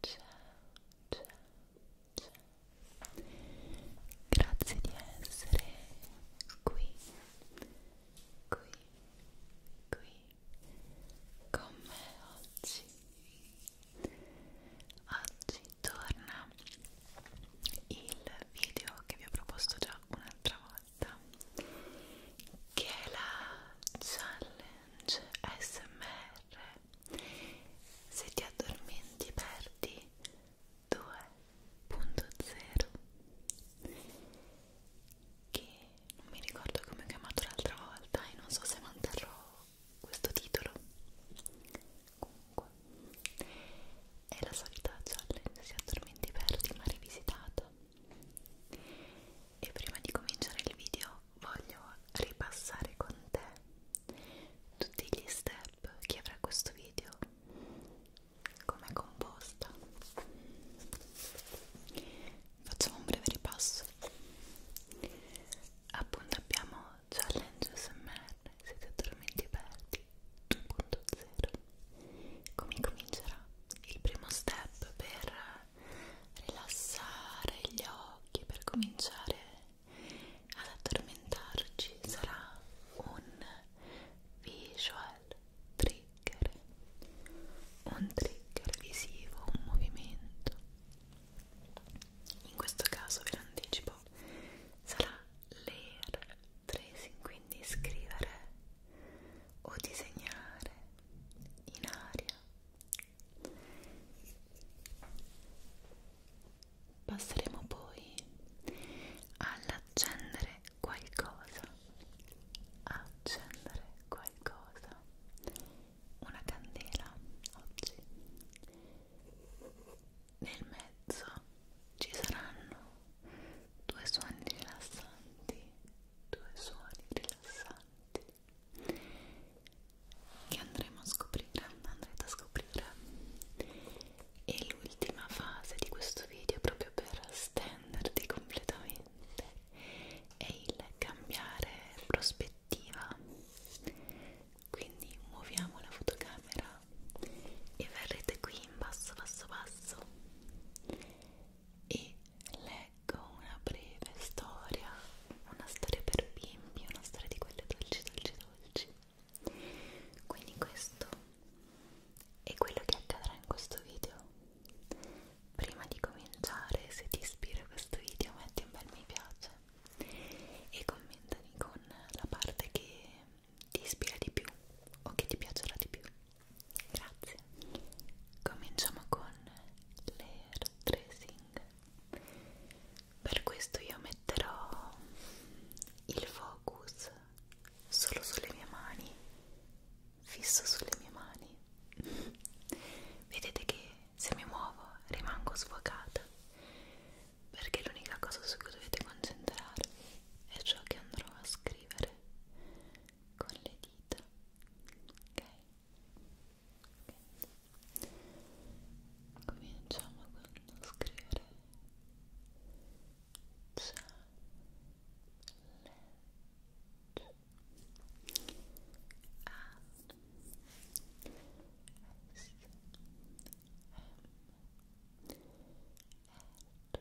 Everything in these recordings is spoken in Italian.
ciao, ciao. Grazie di essere qui, qui, qui con me oggi. Oggi torna il video che vi ho proposto già un'altra volta che è la challenge challenge smr se ti addormenti perdi 2.0 che non mi ricordo come ho chiamato l'altra volta e non so se manterrò questo titolo comunque è la solita challenge si addormenti perdi ma rivisitata e prima di cominciare il video voglio ripassare con te tutti gli step che avrà questo video, come è composta. Facciamo un breve ripasso. Appunto abbiamo Challenge SMR, siete totalmente aperti, 2.0. Come comincerà? Il primo step per rilassare gli occhi per cominciare ad addormentarci sarà un visual trigger un trigger visivo, un movimento in questo caso ve lo anticipo sarà l'air tracing quindi scrivere o disegnare in aria passeremo poi all'accendere qualcosa accendere qualcosa una candela oggi nel mezzo ci saranno due suoni rilassanti due suoni rilassanti importanti che andremo a scoprire, andrete a scoprire e l'ultima fase di questo video proprio per stenderti completamente è il cambiare prospettiva quindi muoviamo la fotocamera e verrete qui in basso basso basso e leggo una breve storia, una storia per bimbi, una storia di quelle dolci, dolci, dolci. Quindi questo è quello che accadrà in questo video. Prima di cominciare, se ti ispira questo video, metti un bel mi piace e commentami con la parte che ti ispira di più o che ti piacerà di più Grazie. Cominciamo con l'air tracing. Per questo io metterò il focus solo sulle mie mani, fisso sulle mie mani. Vedete che se mi muovo rimango sfocata perché l'unica cosa su cui dovete concentrarvi è ciò che andrò a scrivere con le dita ok, okay. cominciamo con scrivere challenge a s m r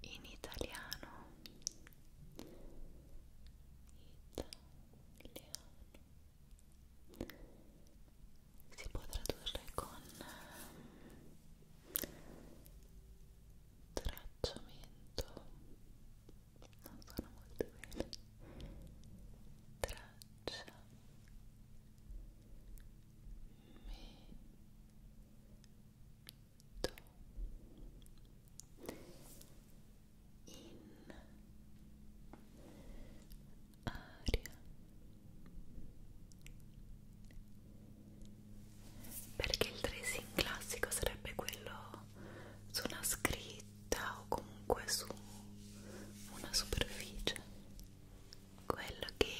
in italiano italiano si può tradurre con ehm, tracciamento non sono molto bene traccia metto in aria perché il tracing classico sarebbe quello su una scritta o comunque su una superficie quello che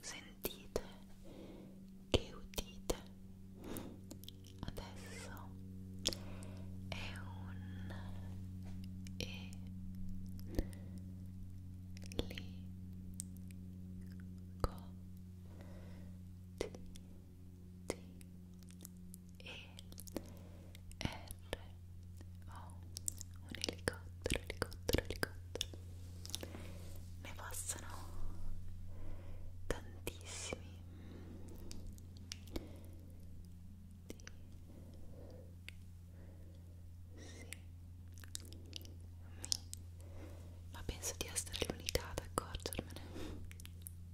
sentite, che udite adesso è un e li co ti ti e R oh, un elicottero, elicottero, elicottero ne passano tantissimi D sì mi ma penso di essere l'unica ad accorgermene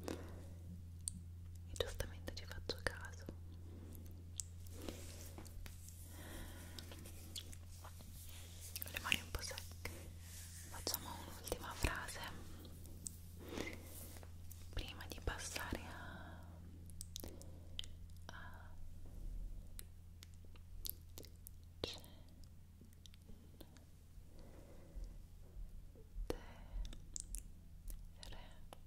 e giustamente ci faccio caso le mani un po' secche facciamo un'ultima frase prima di passare a, a cena te re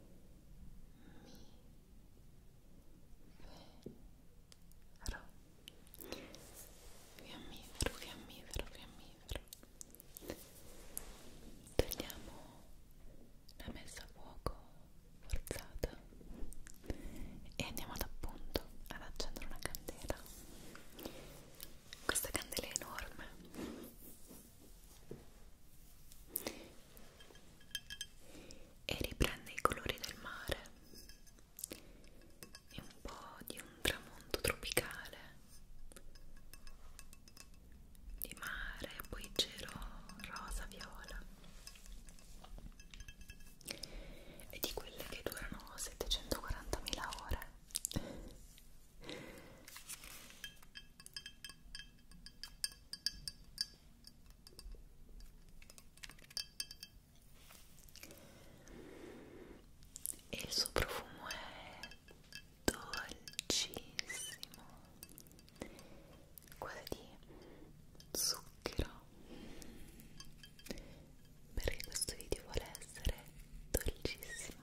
fiammifero fiammifero fiammifero fiammifero togliamo la messa a fuoco forzata e andiamo ad appunto ad accendere una candela questa candela è enorme e riprende i colori del mare e un po' di un tramonto tropicale di mare, poi cielo rosa, viola e di quelle che durano 740.000 ore e il suo profumo è dolcissimo quasi di zucchero perché questo video vuole essere dolcissimo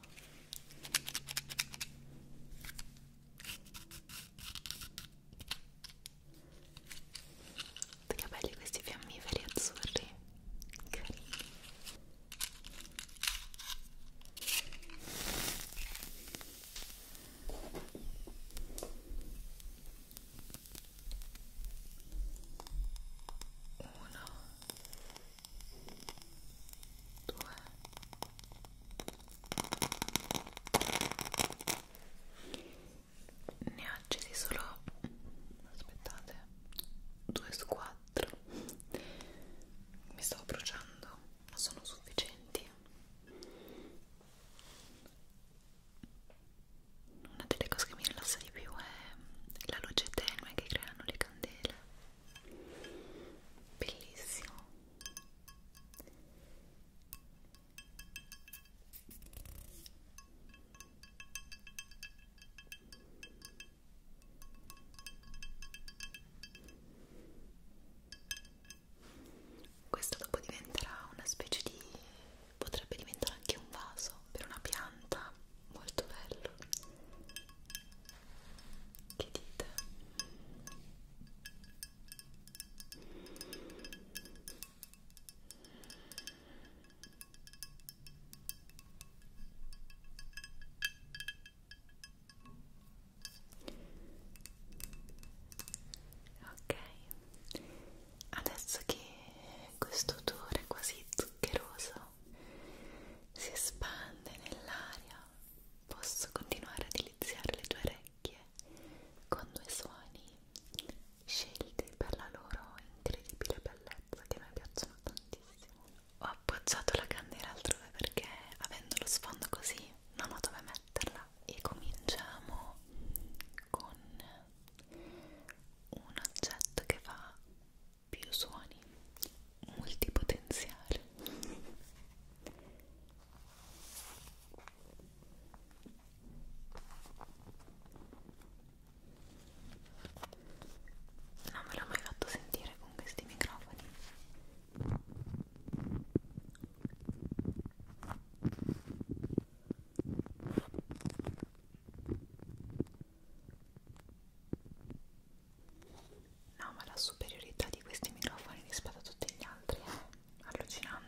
che belli questi fiammiferi azzurri Carini. uno due ne ho accesi solo aspettate due su quattro mi stavo bruciando ma sono sufficienti una delle cose che mi rilassa di più è la luce tenue che creano le candele bellissimo questo dopo diventerà una specie di potrebbe diventare anche un vaso per una pianta molto bello che dite? Ok, adesso che questo odore quasi zuccheroso si espande nell'aria, posso continuare a deliziare le tue orecchie con due suoni scelti per la loro incredibile bellezza che a me piacciono tantissimo. Ho appoggiato la candela altrove perché avendo lo sfondo così non ho dove metterla e cominciamo con un oggetto che fa più suoni multipotenziale non me l'ho mai fatto sentire con questi microfoni No, ma la superiorità di questi microfoni rispetto a tutti gli altri è allucinante.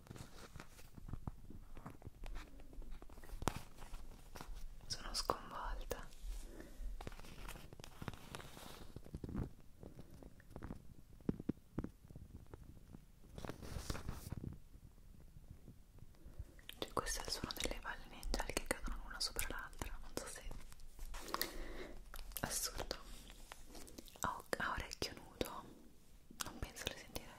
Sono sconvolta. Cioè questo è il suono delle valli ninjali che cadono una sopra l'altra, non so se... Assurdo. Ah, a, a orecchio nudo non penso le sentirei.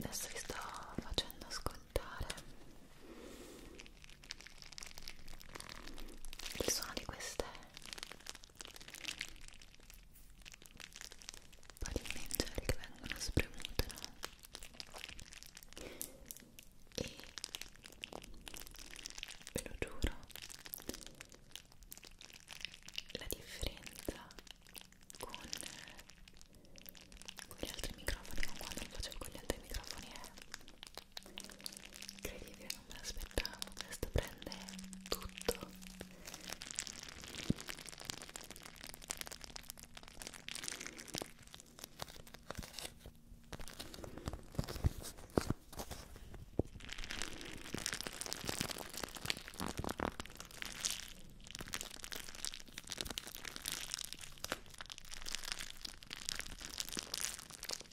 Adesso vi sto facendo ascoltare il suono di queste pollimentari che vengono spremute no? e ve lo giuro la differenza con, con gli altri microfoni con quando lo facevo con gli altri microfoni è Incredibile, non me l'aspettavo, questo prende tutto.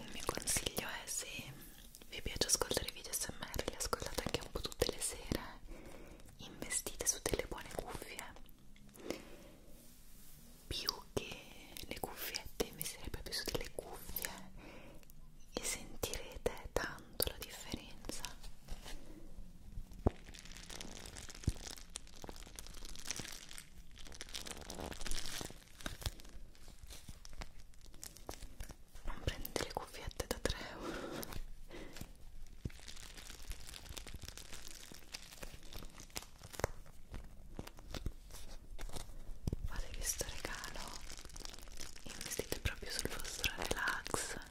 Un mio consiglio è se vi piace ascoltare i video SMR, li ascoltate anche un po' tutte le sere, investite su delle buone cuffie. Più che le cuffiette, investire proprio su delle cuffie e sentirete tanto tanto la differenza non prendete le cuffiette da 3 euro Fate questo regalo in insistite proprio sul vostro relax Ecco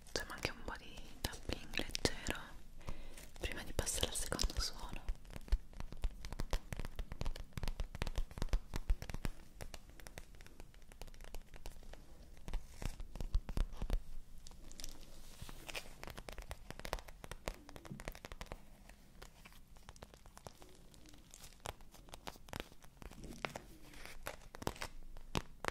facciamo anche un po' di tapping leggero prima di passare al secondo suono ok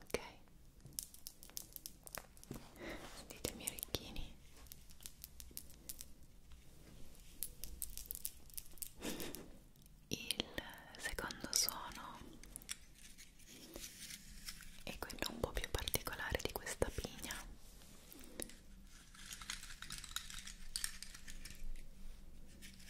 ok sentite i miei orecchini il secondo suono è quello un po' più particolare di questa pigna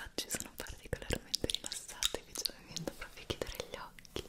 Oggi sono particolarmente rilassata e vi sto venendo proprio a chiudere gli occhi.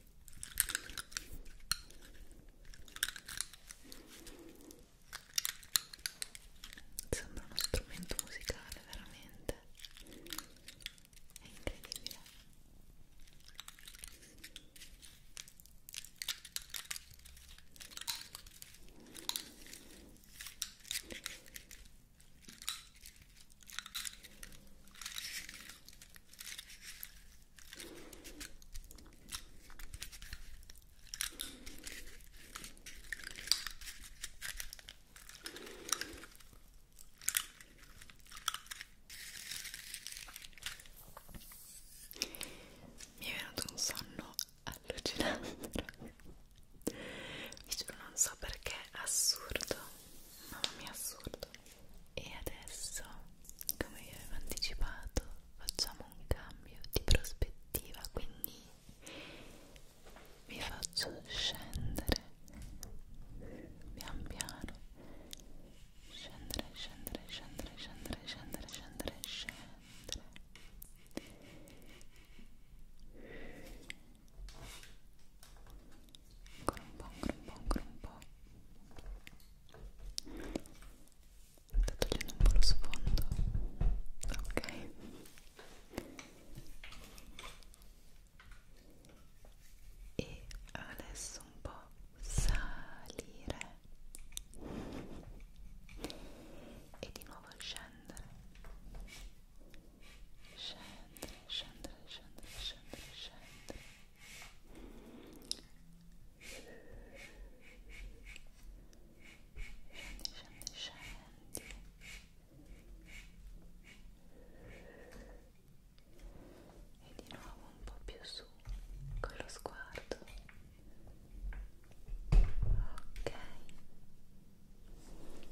Sembra uno strumento musicale, veramente. È incredibile. Mi è venuto un sonno allucinante, vi giuro non so perché, assurdo, mamma mia assurdo e adesso, come vi avevo anticipato, facciamo un cambio di prospettiva, quindi vi faccio scendere pian piano, scendere, scendere, scendere, scendere, scendere, scendere, scendere. Scendere, ancora un po', ancora un po', ancora un po' sto togliendo un po' lo sfondo ok e adesso un po' salire e di nuovo scendere scendere, scendere, scendere, scendere, scendere scendi, scendi e di nuovo un po' più su con lo sguardo ok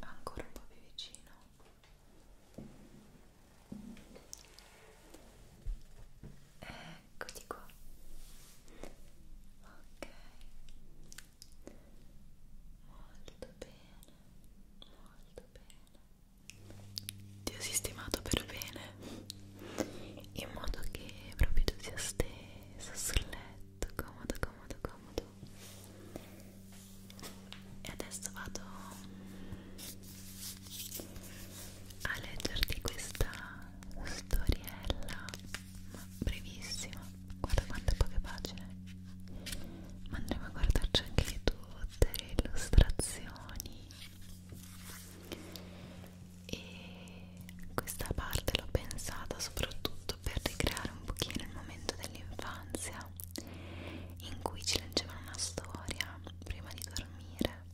ancora un po' più vicino Eccoti qua. Ok. Molto bene. Molto bene. Ti ho sistemato per bene. In modo che proprio tu sia stesa sul letto. Comodo, comodo, comodo. E adesso vado a leggerti questa storiella ma brevissima guarda quante poche pagine ma andremo a guardarci anche tutte le illustrazioni e questa parte l'ho pensata soprattutto per ricreare un pochino il momento dell'infanzia in cui ci leggevano una storia prima di dormire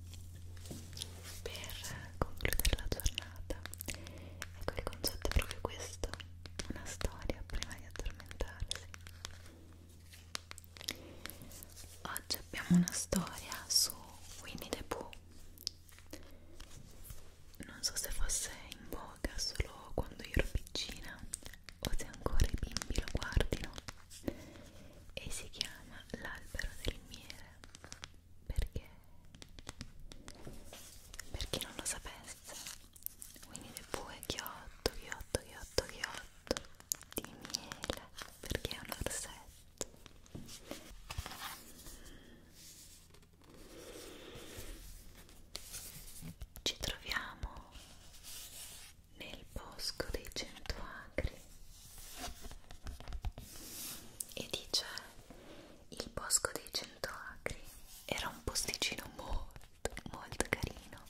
per concludere la giornata ecco il concetto è proprio questo una storia prima di addormentarsi oggi abbiamo una storia su Winnie the Pooh non so se fosse in voga solo quando io ero piccina o se ancora i bimbi lo guardino e si chiama l'albero del miele perché per chi non lo sapesse quindi pure chiotto chiotto chiotto chiotto di miele perché è un orsetto ci troviamo nel bosco dei cento acri e dice il bosco dei cento acri era un posticino molto molto carino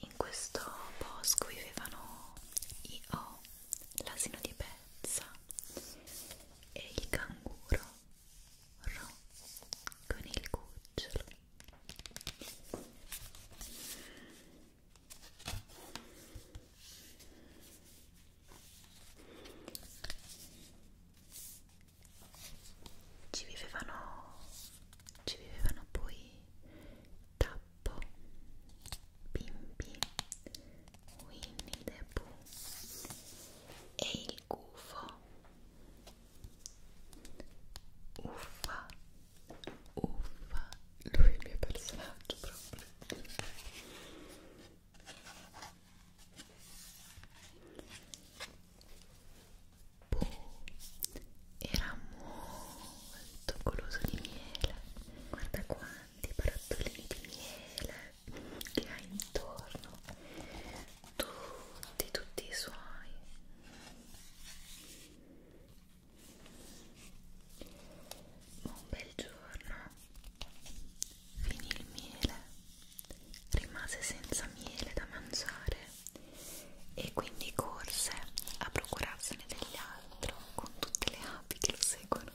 in questo bosco vivevano i O l'asino di pezza e il canguro ro con il cucciolo ci vivevano ci vivevano poi tappo Bimbi, Winnie the Pooh e il gufo. Uffa, uffa, lui è il mio personaggio proprio. Pooh era molto goloso di miele. Guarda qua, tanti barattolini di miele che ha intorno tutti tutti i suoi un bel giorno finì il miele rimase senza miele da mangiare e quindi corse a procurarsene dell'altro con tutte le api che lo seguono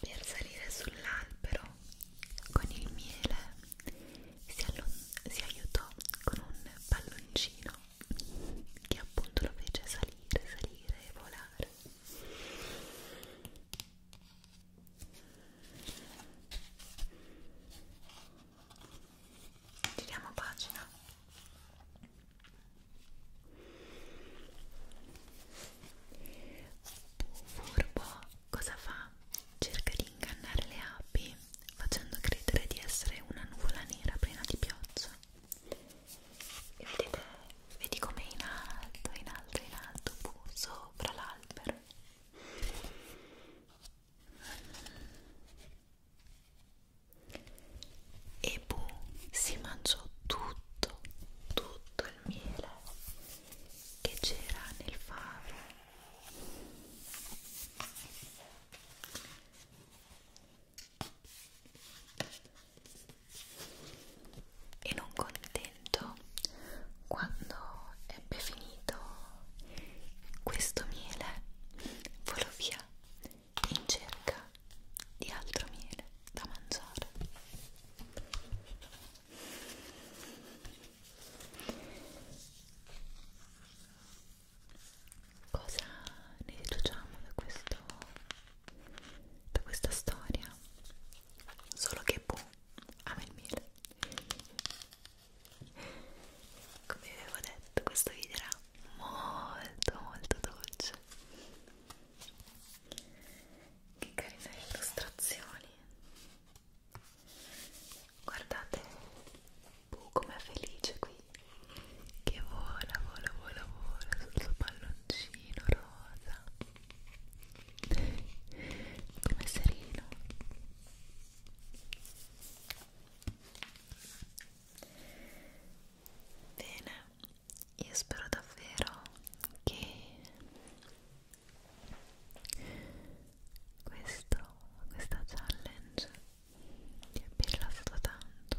per salire sull'albero con il miele si, si aiutò con un palloncino che appunto lo fece salire, salire e volare giriamo pagina furbo cosa fa? cerca di ingannare le api facendo credere di essere una nuvola nera piena di pioggia e vedete, vedi come in alto, in alto, in alto, sopra l'albero e Bu boh, si mangiò tutto, tutto il miele che c'era nel favo. E non contento momento, quando ebbe finito questo miele, volò via in cerca di altro miele da mangiare. Cosa ne deduciamo da, questo, da questa storia? Solo che Boo ama il miele come vi avevo detto questo video era molto molto dolce che carine le illustrazioni guardate uh, com'è felice qui che vola vola vola vola sul suo palloncino rosa come sereno bene io spero davvero che questo, questa challenge ti abbia rilassato tanto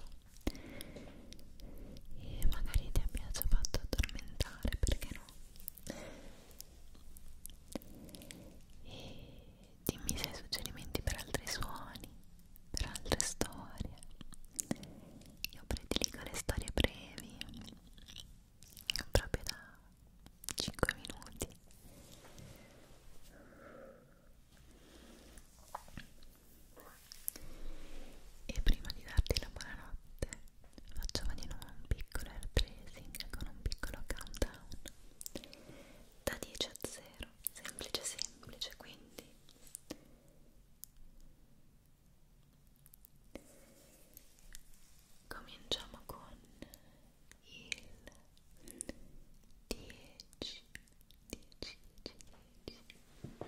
e magari ti abbia già fatto addormentare perché no e dimmi se hai suggerimenti per altri suoni, per altre storie. Io prediligo le storie brevi, proprio da 5 minuti. E prima di darti la buonanotte facciamo di nuovo un piccolo air tracing con un piccolo countdown da 10 a 0 semplice semplice quindi 1 cominciamo con il 10 10 10 10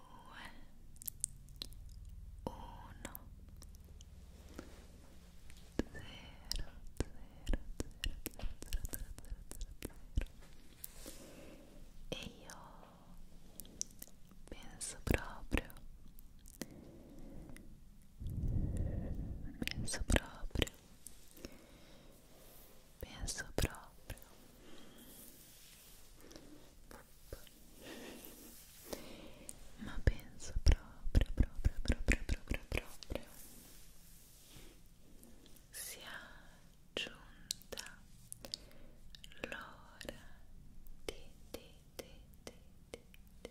zero e io penso proprio penso proprio penso proprio ma penso proprio proprio proprio proprio proprio sia giunta l'ora di di di di di, di.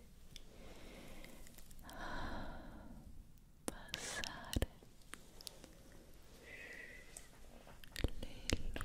Ah, passare le luci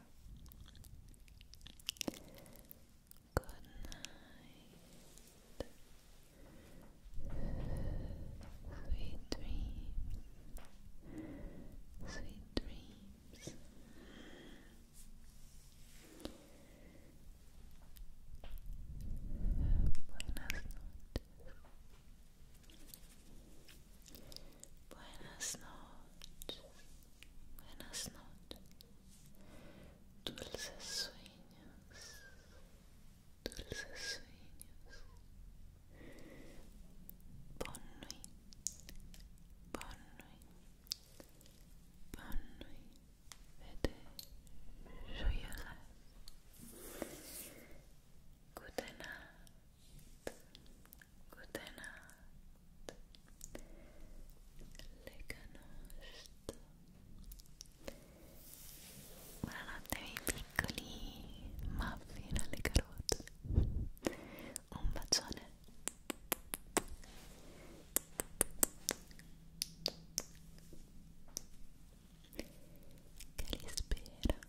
Good night. Sweet dreams. Sweet dreams. Buenas noches. Buenas noches. Buenas noches, dulces sueños, dulces sueños. Bonne nuit, bonne nuit, bonne nuit. Vete, joyeuse. Goedenacht, Gute Nacht. Buonanotte miei piccoli muffin alle carote. Un bacione. Che li spera.